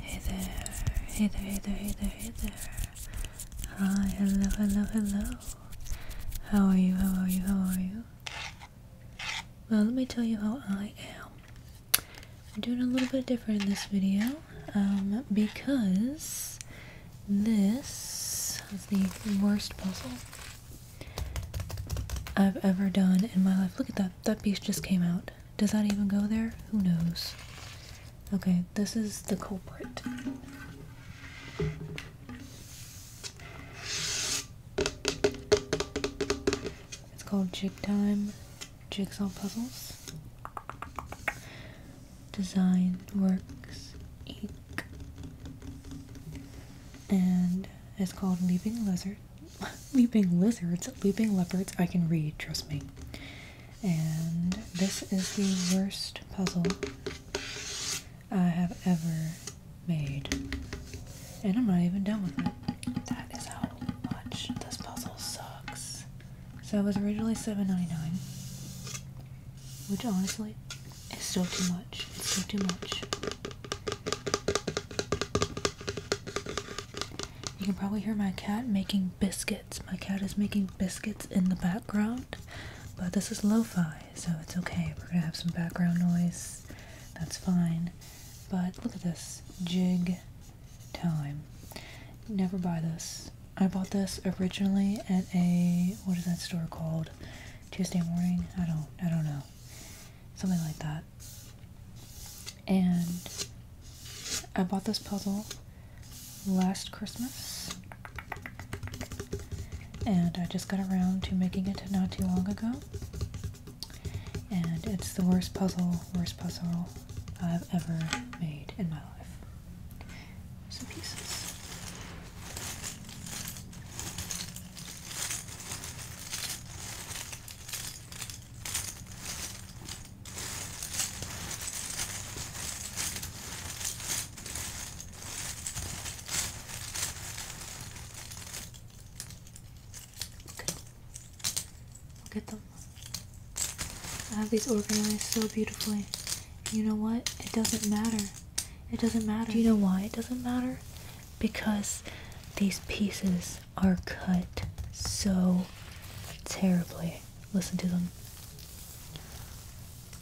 Hey there, hey there, hey there, hey there, Hi, hello, hello, hello. How are you, how are you, how are you? Well, let me tell you how I am. I'm doing a little bit different in this video um, because this is the worst puzzle I've ever done in my life. Look at that, that piece just came out. Does that even go there? Who knows? Okay, this is the culprit. It's called Jig Time Jigsaw Puzzles. Design Works Inc. And it's called Leaping Lizard leaping lizards, leaping leopards. I can read, trust me. And this is the worst puzzle I have ever made. And I'm not even done with it. That is how much this puzzle sucks. So it was originally $7.99, which honestly is still too much. It's still too much. You can probably hear my cat making biscuits. My cat is making biscuits in the background, but this is lo fi, so it's okay. We're gonna have some background noise, that's fine. But look at this jig time. Never buy this. I bought this originally at a what is that store called? Tuesday morning? I don't I don't know. Something like that. And I bought this puzzle last Christmas. And I just got around to making it not too long ago. And it's the worst puzzle, worst puzzle I've ever made in my life. Some pieces. Okay. Look at them. I have these organized so beautifully. You know what? It doesn't matter. It doesn't matter. Do you know why it doesn't matter? Because these pieces are cut so terribly. Listen to them.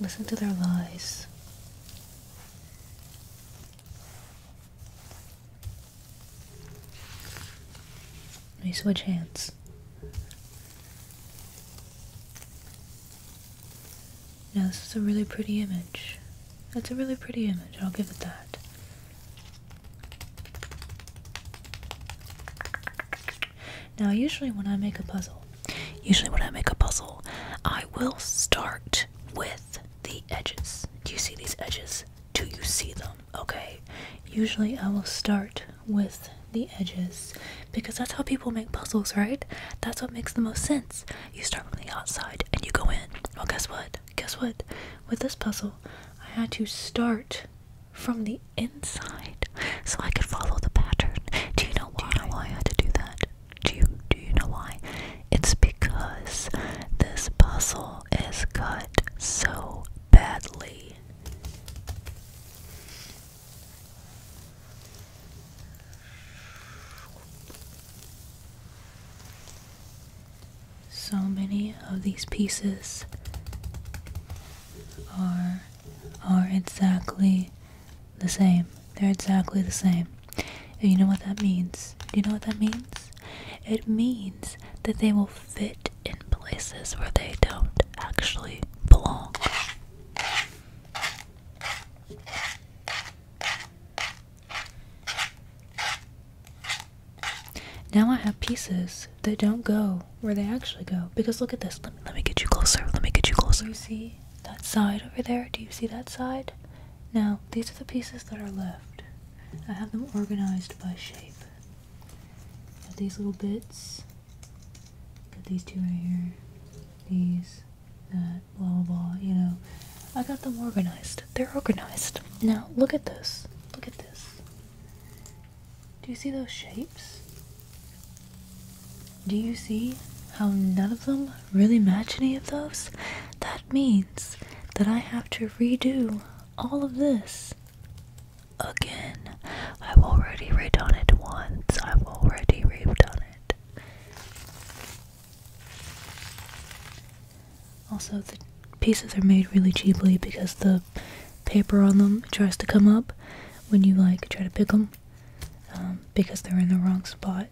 Listen to their lies. Let me switch hands. Now this is a really pretty image. That's a really pretty image, I'll give it that. Now, usually when I make a puzzle, usually when I make a puzzle, I will start with the edges. Do you see these edges? Do you see them? Okay. Usually I will start with the edges because that's how people make puzzles, right? That's what makes the most sense. You start from the outside and you go in. Well, guess what? Guess what? With this puzzle, I had to start from the inside so I could follow the pattern. Do you know why? I had to do that? Do you do you know why? It's because this puzzle is cut so badly. So many of these pieces are are exactly the same. They're exactly the same. Do you know what that means? Do you know what that means? It means that they will fit in places where they don't actually belong. Now I have pieces that don't go where they actually go. Because look at this. Let me let me get you closer. Let me get you closer. you see that side over there? Do you see that side? Now these are the pieces that are left. I have them organized by shape. these little bits. Got these two right here. These, that, blah blah blah. You know, I got them organized. They're organized. Now look at this. Look at this. Do you see those shapes? Do you see how none of them really match any of those? That means that I have to redo all of this again. I've already redone it once. I've already redone it. Also, the pieces are made really cheaply because the paper on them tries to come up when you like try to pick them um, because they're in the wrong spot.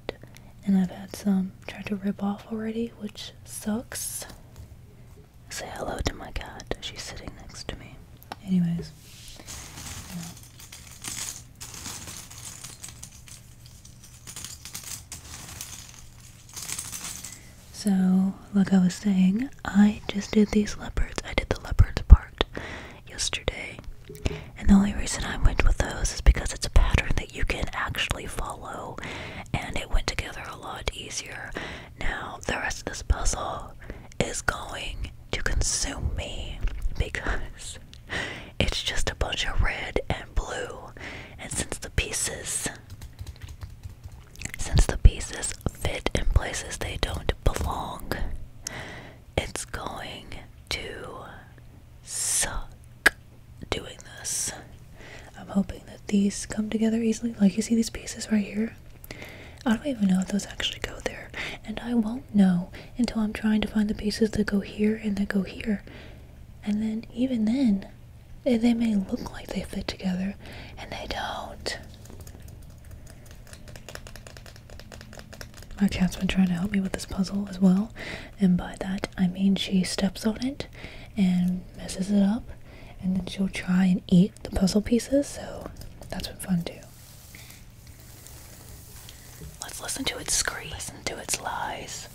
And I've had some try to rip off already, which sucks. Say hello to my cat. She's sitting next to me. Anyways. So, like I was saying, I just did these leopards. I did the leopards part yesterday. And the only reason I went with those is because it's a pattern that you can actually follow and it went together a lot easier. Now, the rest of this puzzle is going to consume me because it's just a bunch of red and blue. And since the pieces since the pieces fit in places they don't belong, it's going to suck doing this. I'm hoping that these come together easily. Like, you see these pieces right here? I don't even know if those actually go there. And I won't know until I'm trying to find the pieces that go here and that go here. And then, even then, they, may look like they fit together, and they don't. My cat's been trying to help me with this puzzle as well, and by that I mean she steps on it and messes it up, and then she'll try and eat the puzzle pieces, so that's been fun too. Let's listen to its scream, listen to its lies.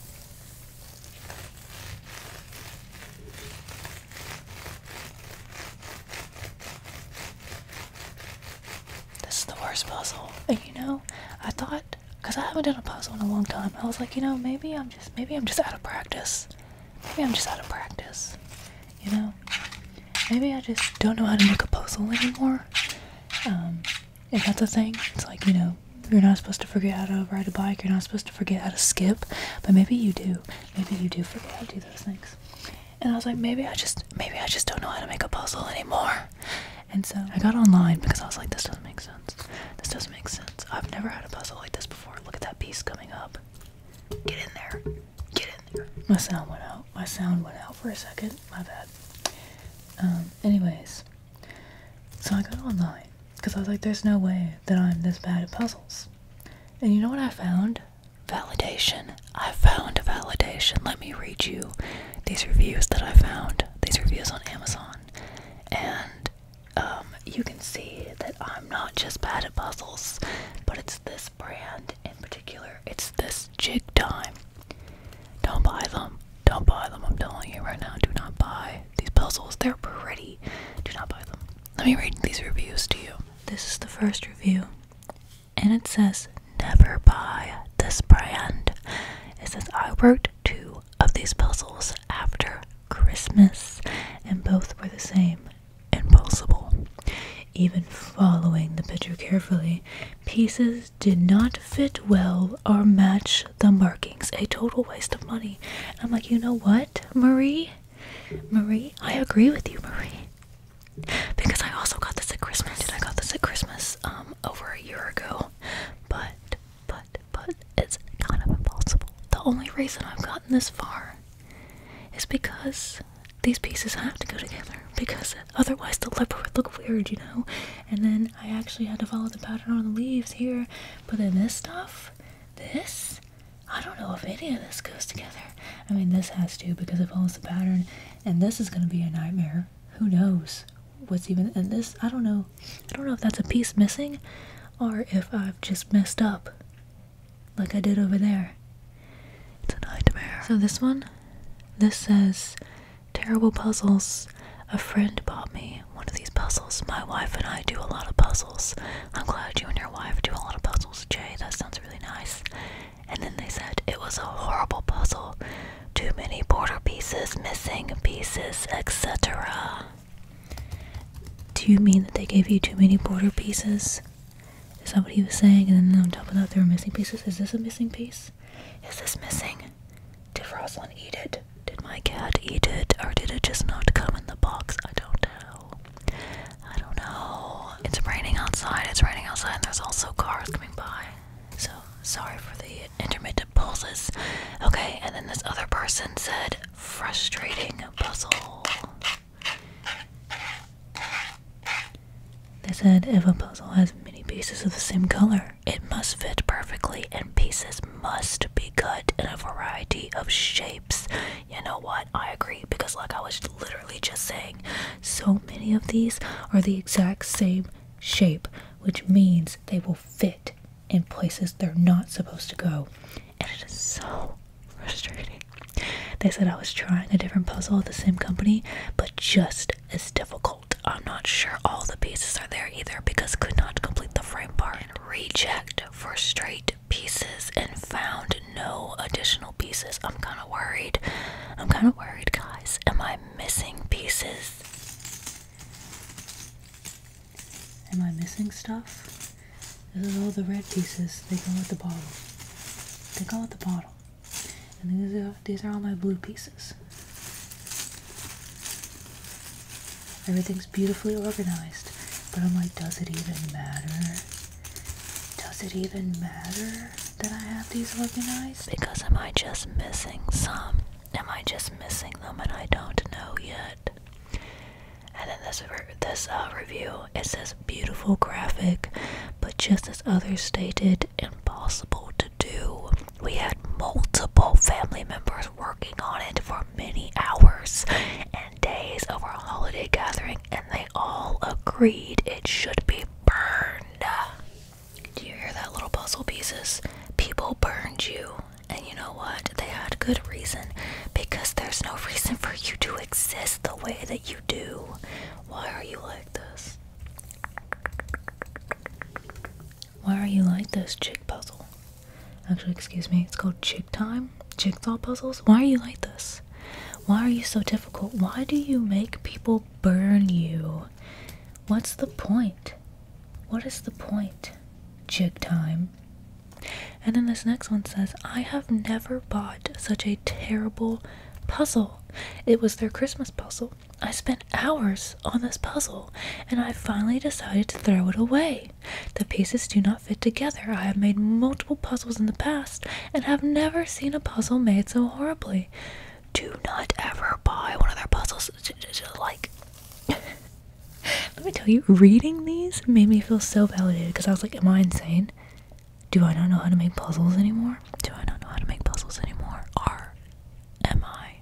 This is the worst puzzle. you know, I thought, because I haven't done a puzzle in a long time, I was like, you know, maybe I'm just, maybe I'm just out of practice. Maybe I'm just out of practice. You know, maybe I just don't know how to make a puzzle anymore. Um, if that's a thing, it's like, you know, you're not supposed to forget how to ride a bike, you're not supposed to forget how to skip, but maybe you do maybe you do forget how to do those things. And I was like, maybe I just, maybe I just don't know how to make a puzzle anymore. And so I got online because I was like, this doesn't make sense. This doesn't make sense. I've never had a puzzle like this before. Look at that piece coming up. Get in there. Get in there. My sound went out. My sound went out for a second. My bad. Um, anyways, so I got online because I was like, there's no way that I'm this bad at puzzles. And you know what I found? Validation. I found validation. Let me read you these reviews that I found, these reviews on Amazon. And um, you can see that I'm not just bad at puzzles, but it's this brand in particular. It's this jig time. Don't buy them. Don't buy them. I'm telling you right now, do not buy these puzzles. They're pretty. Do not buy them. Let me read these reviews to you this is the first review, and it says, Never buy this brand. It says, I worked two of these puzzles after Christmas, and both were the same impossible. Even following the picture carefully, pieces did not fit well or match the markings. A total waste of money. I'm like, you know what, Marie? Marie, I agree with you, Marie. Because I also got this at Christmas. Did I got this at Christmas um over a year ago. But but but it's kind of impossible. The only reason I've gotten this far is because these pieces have to go together because otherwise the leopard would look weird, you know? And then I actually had to follow the pattern on the leaves here. But then this stuff, this I don't know if any of this goes together. I mean, this has to because it follows the pattern, and this is going to be a nightmare. Who knows what's even in this? I don't know. I don't know if that's a piece missing or if I've just messed up like I did over there. It's a nightmare. So, this one, this says terrible puzzles. A friend bought me one of these puzzles. My wife and I do a lot of puzzles. I'm glad you and your wife do a lot of puzzles puzzles. Jay, that sounds really nice. And then they said it was a horrible puzzle. Too many border pieces, missing pieces, etc. Do you mean that they gave you too many border pieces? Is that what he was saying? And then on top of that, there were missing pieces. Is this a missing piece? Is this missing? Did Rosalind eat it? Did my cat eat it? Or did it just not come in the box? I don't know. I don't know. It's raining outside. It's raining outside, and there's also cars coming by. So sorry for the intermittent pauses. Okay, and then this other person said frustrating puzzle. They said if a puzzle has many pieces of the same color, it must fit perfectly, and pieces must be cut in a variety of shapes you know what? I agree because, like I was literally just saying, so many of these are the exact same shape, which means they will fit in places they're not supposed to go. And it is so frustrating. They said I was trying a different puzzle at the same company, but just as difficult. I'm not sure all the pieces are there either because could not complete the frame part. Reject for straight pieces and found no additional pieces. I'm kind of worried. I'm kind of worried, guys. Am I missing pieces? Am I missing stuff? This is all the red pieces. They go with the bottle. They go with the bottle. And these are, these are all my blue pieces. Everything's beautifully organized, but I'm like, does it even matter? Does it even matter that I have these organized? Because am I just missing some? Am I just missing them and I don't know yet? And then this this uh, review it says beautiful graphic, but just as others stated, impossible to do. We had multiple family members working on it for many hours, and days over a holiday gathering and they all agreed it should be burned. Do you hear that, little puzzle pieces? People burned you. And you know what? They had good reason because there's no reason for you to exist the way that you do. Why are you like this? Why are you like this, chick puzzle? Actually, excuse me, it's called chick time jigsaw puzzles? Why are you like this? Why are you so difficult? Why do you make people burn you? What's the point? What is the point? Jig time. And then this next one says, I have never bought such a terrible puzzle. It was their Christmas puzzle. I spent hours on this puzzle and I finally decided to throw it away. The pieces do not fit together. I have made multiple puzzles in the past and have never seen a puzzle made so horribly. Do not ever buy one of their puzzles. Like, let me tell you, reading these made me feel so validated because I was like, Am I insane? Do I not know how to make puzzles anymore? Do I not know how to make puzzles anymore? Are am I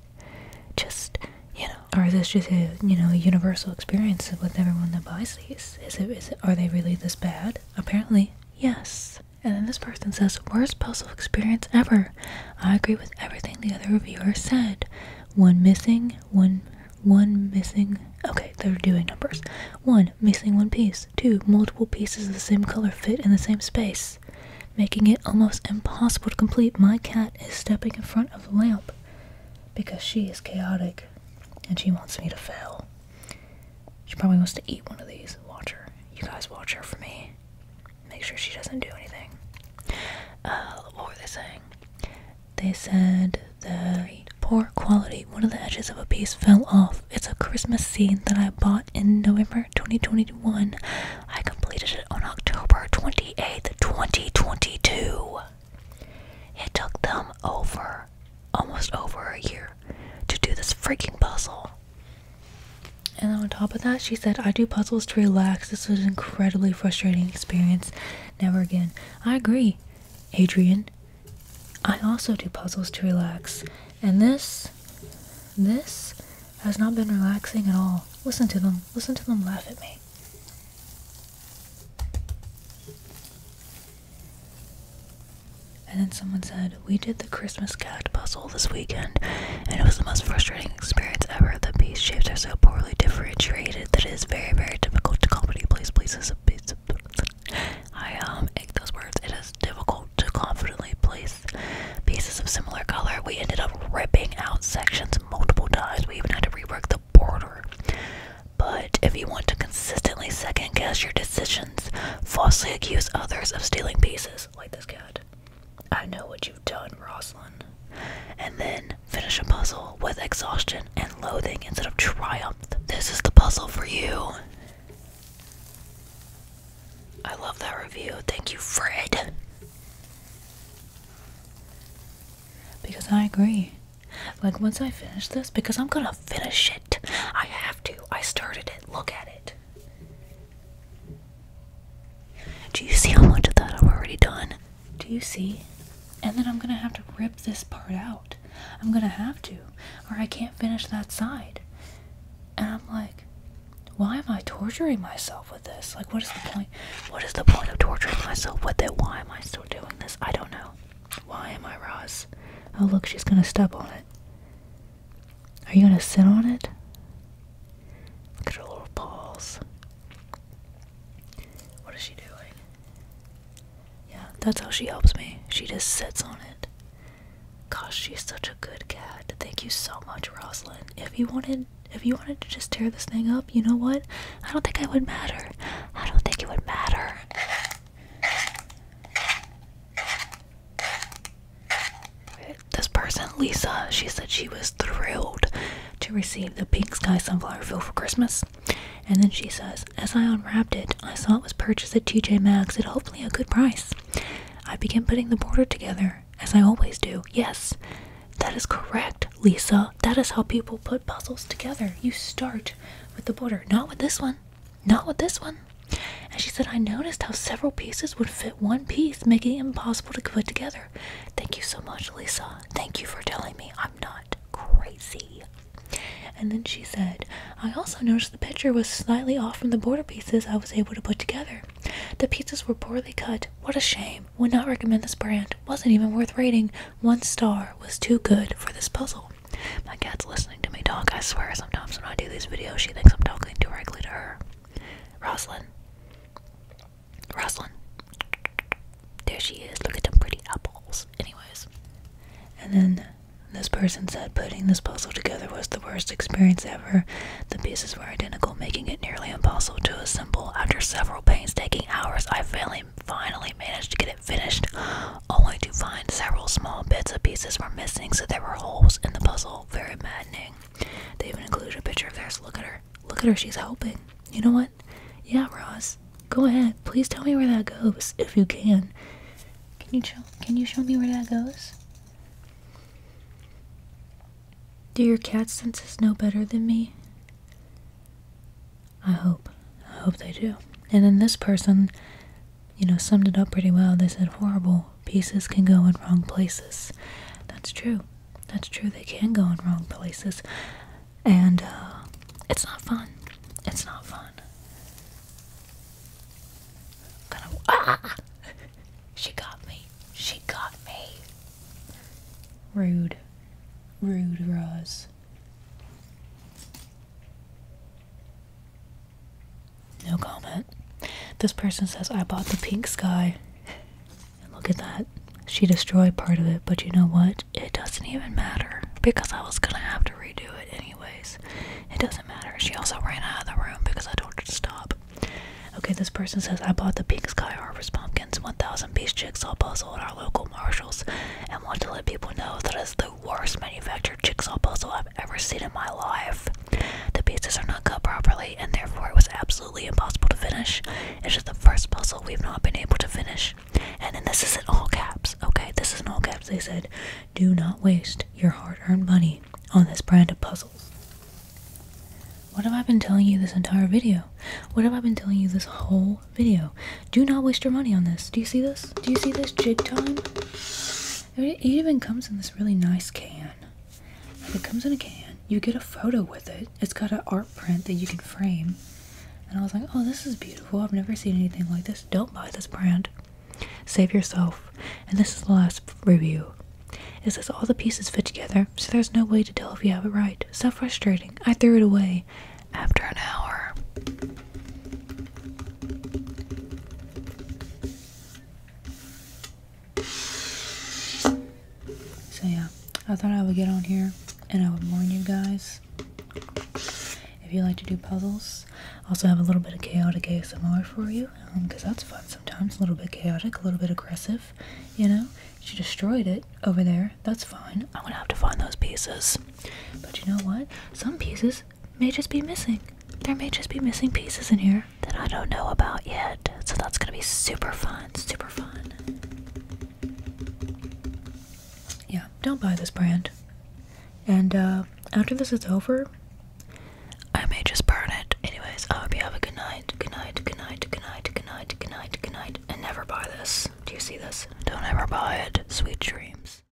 just, you know, Are this just a, you know, universal experience with everyone that buys these? Is it, is it is it?" Are they really this bad? Apparently, yes. And then this person says, Worst puzzle experience ever. I agree with everything the other reviewer said. One missing, one one missing okay, they're doing numbers. One missing one piece, two, multiple pieces of the same color fit in the same space, making it almost impossible to complete. My cat is stepping in front of the lamp because she is chaotic and she wants me to fail. She probably wants to eat one of these. Watch her. You guys watch her for me. Make sure she doesn't do anything. Uh, what were they saying? They said the poor quality. One of the edges of a piece fell off. It's a Christmas scene that I bought in November 2021. I completed it on October 28th, 2022. It took them over, almost over a year, to do this freaking puzzle. And on top of that, she said, I do puzzles to relax. This was an incredibly frustrating experience. Never again. I agree, Adrian. I also do puzzles to relax. And this, this has not been relaxing at all. Listen to them. Listen to them laugh at me. And then someone said, We did the Christmas cat puzzle this weekend, and it was the most frustrating experience ever. The piece shapes are so poorly differentiated that it is very, very difficult to confidently place pieces of pieces. I um ate those words. It is difficult to confidently place pieces of similar color. We ended up ripping out sections multiple times. We even had to rework the border. But if you want to consistently second guess your decisions, falsely accuse others of stealing pieces, like this cat, I know what you've done, Rosalind. And then finish a puzzle with exhaustion and loathing instead of triumph. This is the puzzle for you. I love that review. Thank you, Fred. Because I agree. Like once I finish this, because I'm gonna finish it. I have to. I started it. Look at it. Do you see how much of that I've already done? Do you see? And then I'm gonna have to rip this part out. I'm gonna have to, or I can't finish that side. And I'm like, why am I torturing myself with this? Like, what is the point? What is the point of torturing myself with it? Why am I still doing this? I don't know. Why am I, Roz? Oh, look, she's gonna step on it. Are you gonna sit on it? Look at her little paws. What is she doing? Yeah, that's how she helps me. She just sits on it. Gosh, she's such a good cat. Thank you so much, Rosalind. If you wanted if you wanted to just tear this thing up, you know what? I don't think it would matter. I don't think it would matter. This person, Lisa, she said she was thrilled to receive the Pink Sky Sunflower Fill for Christmas. And then she says, As I unwrapped it, I saw it was purchased at TJ Maxx at hopefully a good price. I began putting the border together, as I always do. Yes, that is correct, Lisa. That is how people put puzzles together. You start with the border, not with this one. Not with this one. And she said, I noticed how several pieces would fit one piece, making it impossible to put together. Thank you so much, Lisa. Thank you for telling me I'm not crazy. And then she said, I also noticed the picture was slightly off from the border pieces I was able to put together. The pieces were poorly cut. What a shame. Would not recommend this brand. Wasn't even worth rating. One star was too good for this puzzle. My cat's listening to me talk. I swear sometimes when I do these videos, she thinks I'm talking directly to her. Roslyn. Roslyn. There she is. Look at them pretty apples. Anyways. And then this person said putting this puzzle together was the worst experience ever. The pieces were identical, making it nearly impossible to assemble. After several painstaking hours, I finally, finally managed to get it finished, only to find several small bits and pieces were missing, so there were holes in the puzzle. Very maddening. They even included a picture of theirs. Look at her. Look at her. She's helping. You know what? Yeah, Ross, Go ahead. Please tell me where that goes, if you can. Can you show? Can you show me where that goes? Do your cat senses know better than me? I hope. I hope they do. And then this person you know, summed it up pretty well. They said horrible pieces can go in wrong places. That's true. That's true. They can go in wrong places. And uh, it's not fun. It's not fun. I'm ah! she got me. She got me. Rude. Rude, Roz. No comment. This person says, I bought the pink sky. And look at that. She destroyed part of it, but you know what? It doesn't even matter because I was gonna have to redo it anyways. It doesn't matter. She also ran out of the room because I told her to stop. Okay, this person says, I bought the pink sky harvest pumpkins, 1000 piece jigsaw puzzle at our local Marshalls, and want to let people know that it's the worst manufactured jigsaw puzzle I've ever seen in my life. The pieces are not cut properly, and therefore it was absolutely impossible to finish. It's just the first puzzle we've not been able to finish. And then this is in all caps, okay? This is in all caps. They said, do not waste your hard earned money on this brand of puzzles. What have I been telling you this entire video? What have I been telling you this whole video? Do not waste your money on this. Do you see this? Do you see this jig time? It even comes in this really nice can. It comes in a can. You get a photo with it. It's got an art print that you can frame. And I was like, oh, this is beautiful. I've never seen anything like this. Don't buy this brand. Save yourself. And this is the last review. It says all the pieces fit together, so there's no way to tell if you have it right. So frustrating. I threw it away after an hour. So yeah, I thought I would get on here and I would warn you guys. If you like to do puzzles, also have a little bit of chaotic ASMR for you, because um, that's fun sometimes. A little bit chaotic, a little bit aggressive, you know. She destroyed it over there. That's fine. I'm gonna have to find those pieces. But you know what? Some pieces may just be missing. There may just be missing pieces in here that I don't know about yet. So that's gonna be super fun, super fun. Yeah, don't buy this brand. And uh, after this is over, I may just burn it. Anyways, I hope you have a good night. Good night, good night, good night, good night, good night, good night. And never buy this. Do you see this? Don't ever buy it. Sweet dreams.